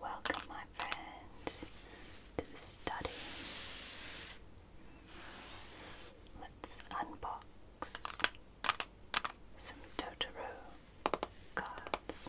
Welcome, my friends, to the study. Let's unbox some Totoro cards.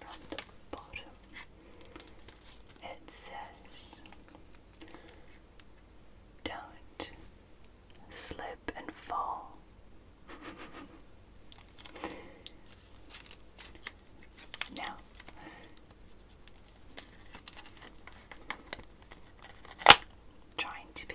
from the bottom it says Don't slip and fall. now trying to be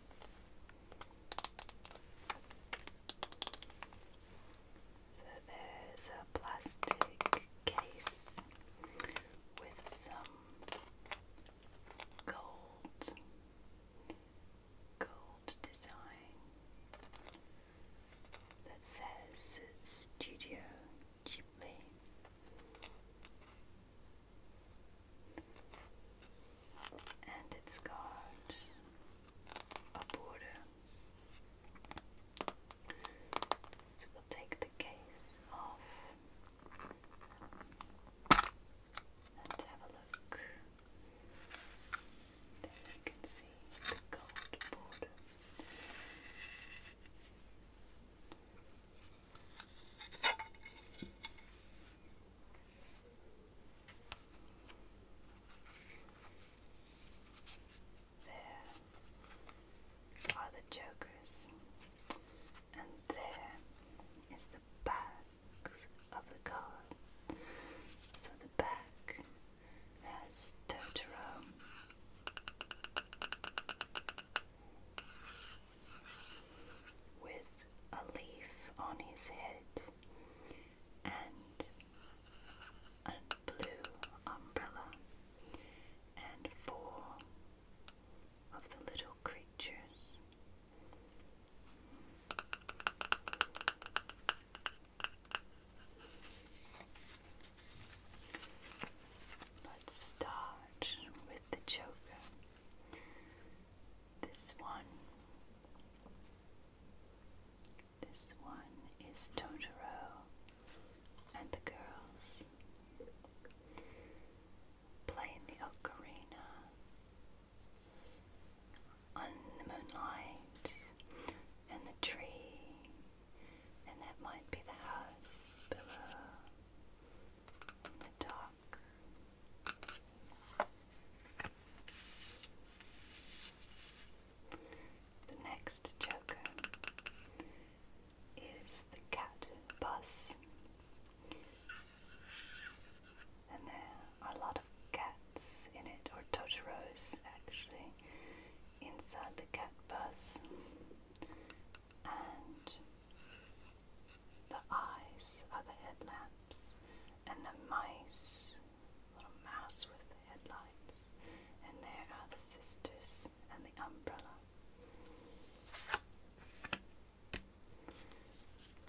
So there's a plastic case with some gold gold design that says Studio Ghibli and it's got a border. So we'll take the case off and have a look. There you can see the gold border. There are the jokers, and there is the backs of the card. So the back has Totoro with a leaf on his head and a blue umbrella, and four of the little creatures. Let's start with the Joker. This one. This one is Totoro and the girls playing the ocarina on the moonlight and the tree, and that might be the house below the dark. The next joker is the cat bus. And there are a lot of cats in it, or Totoros actually, inside the cat bus. And the eyes are the headlamps, and the mice, little mouse with the headlights, and there are the sisters and the umbrella.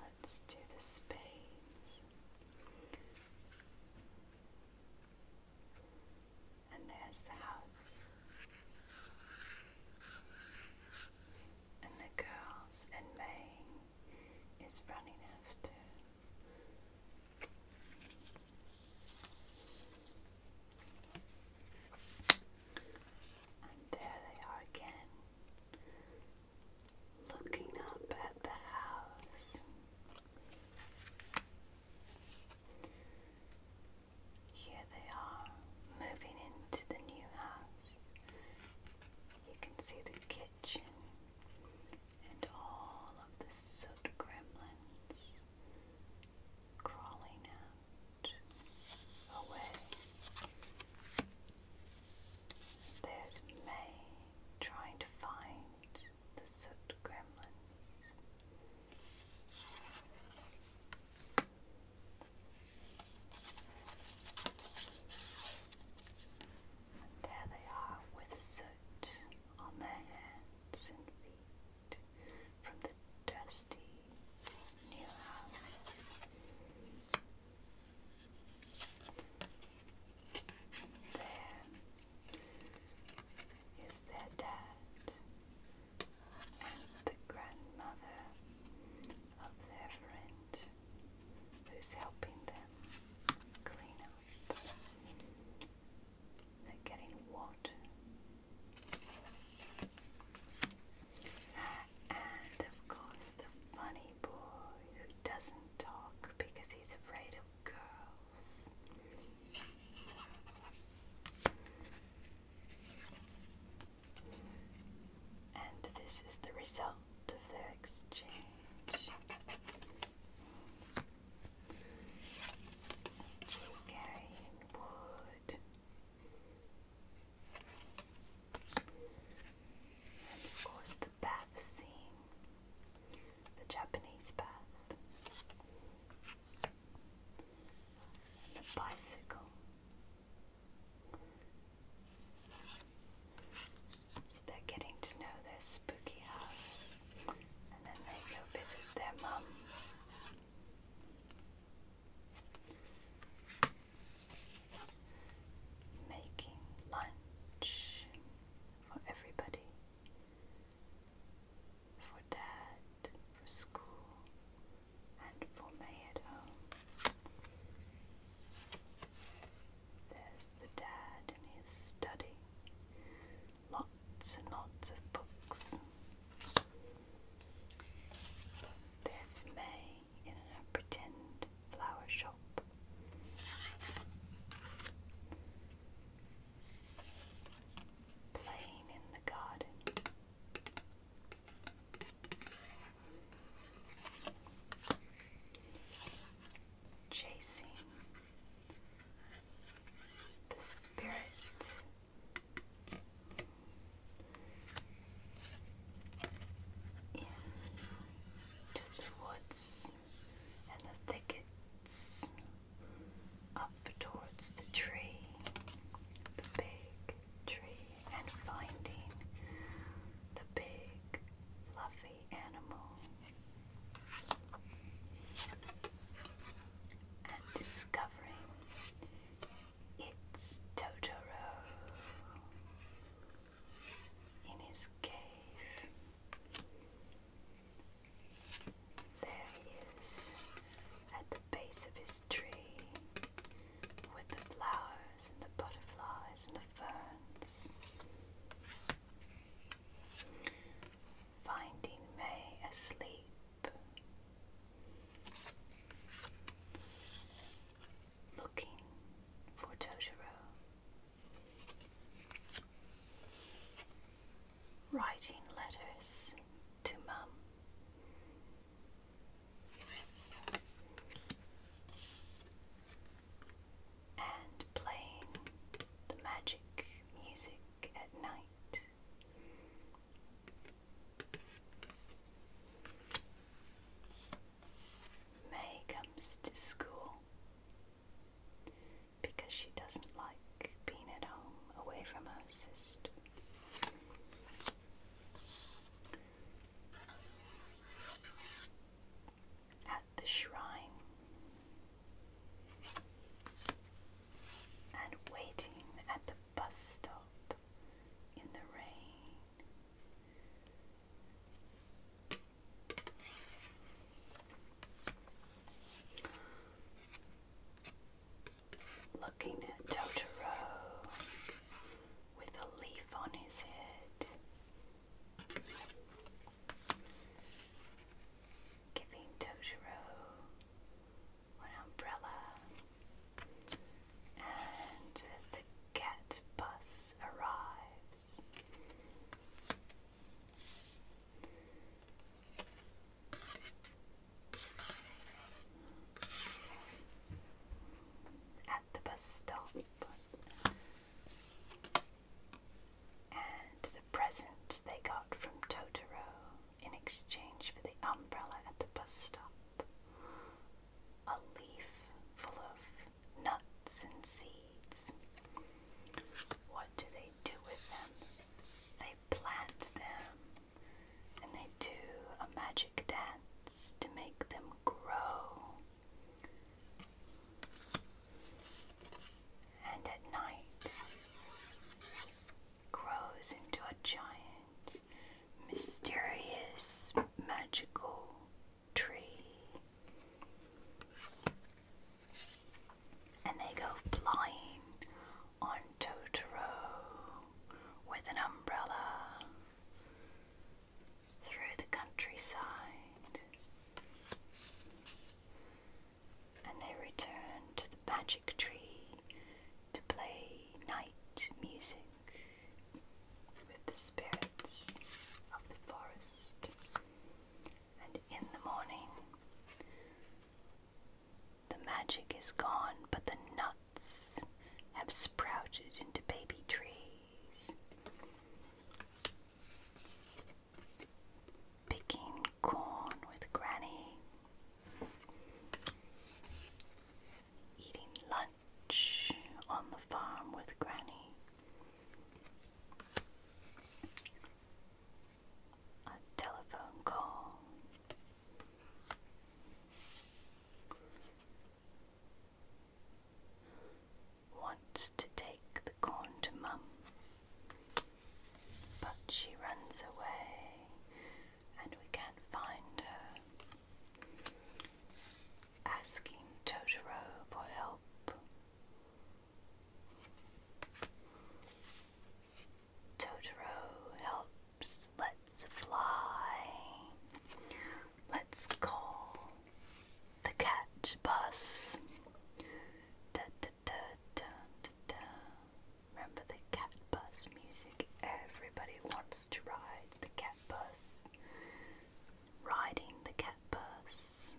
Let's do the spades. And there's the house. And the girls and May is running after. And there they are again, looking up at the house. Here they are moving into the new house. You can see the kitchen and all of the soot gremlins crawling out away. There's May trying to find the soot gremlins there they are with soot on their hands and feet from the dusty new house. There is their dad and the grandmother of their friend who's helping them clean up. They're getting water. And of course, the funny boy who doesn't talk because he's afraid of girls. And this is the result of their exchange. Carrying wood. And of course, the bath scene, the Japanese bath and a bicycle. So they're getting to know their spooky house, and then they go visit their mum. Making lunch for everybody for dad, for school, and for me at home. There's the dad in his study. Lots and lots of books. There's May in a pretend flower shop playing in the garden. Chasing the spirit into the woods and the thickets, up towards the tree, the big tree, and finding the big fluffy animal. And discovering it's Totoro in his cave. There he is at the base of his tree with the flowers and the butterflies and the ferns. Finding May asleep. Looking for Totoro. Writing letters to Mum. And playing the magic music at night. May comes to school because she doesn't like being at home away from her sister. At the shrine and waiting at the bus stop in the rain. Looking at Totoro with a leaf on his head, giving Totoro an umbrella, and the cat bus arrives at the bus stop and the present they got from Totoro in exchange for the umbrella at the bus stop a leaf full of nuts and seeds. What do they do with them? They plant them and they do a magic dance to make them grow. And at night grows into a giant, mysterious, magical tree. And they go flying on Totoro with an umbrella through the countryside. And they return to the magic tree to play night music with the spirits of the forest. And in the morning, the magic is gone, but the nuts have sprouted into baby trees. Picking corn with Granny eating lunch on the farm with Granny. A telephone call. Wants to take the corn to Mum, but she runs away and we can't find her asking Totoro for help. Totoro helps. Let's fly. Let's call the cat bus. Da, da, da, da, da, da. Remember the cat bus music? everybody wants to ride the cat bus. Riding the cat bus.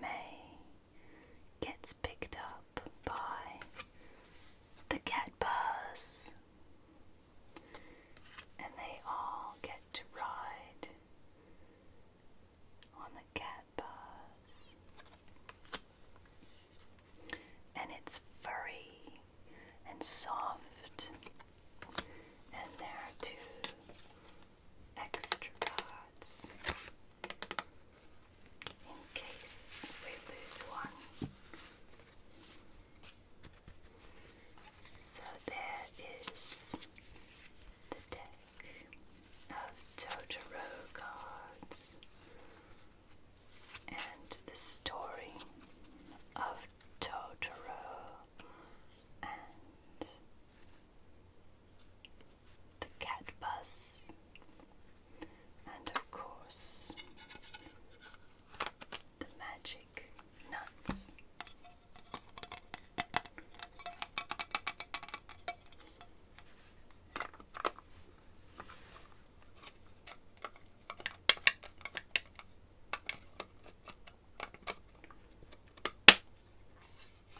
May gets picked up by the cat bus. And they all get to ride on the cat bus and it's furry and soft, and there are two extra cards in case we lose one. So there is the deck of Totoro cards and the story of Totoro and the cat and of course, the magic nuts.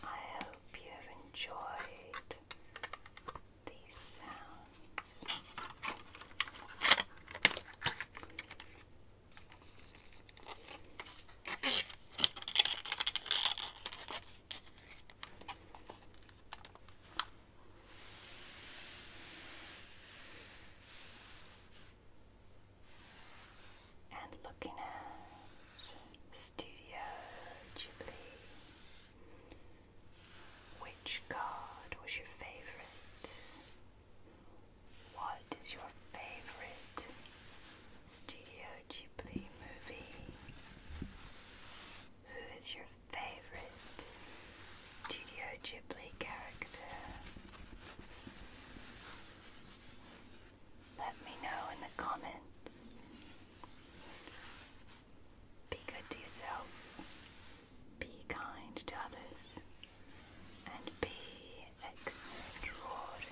I hope you have enjoyed these sounds. And looking at Studio Ghibli, which card was your favorite? What is your favorite Studio Ghibli movie? Who is your favorite Studio Ghibli character? Let me know in the comments. Be good to yourself, be kind to others, and be extraordinary.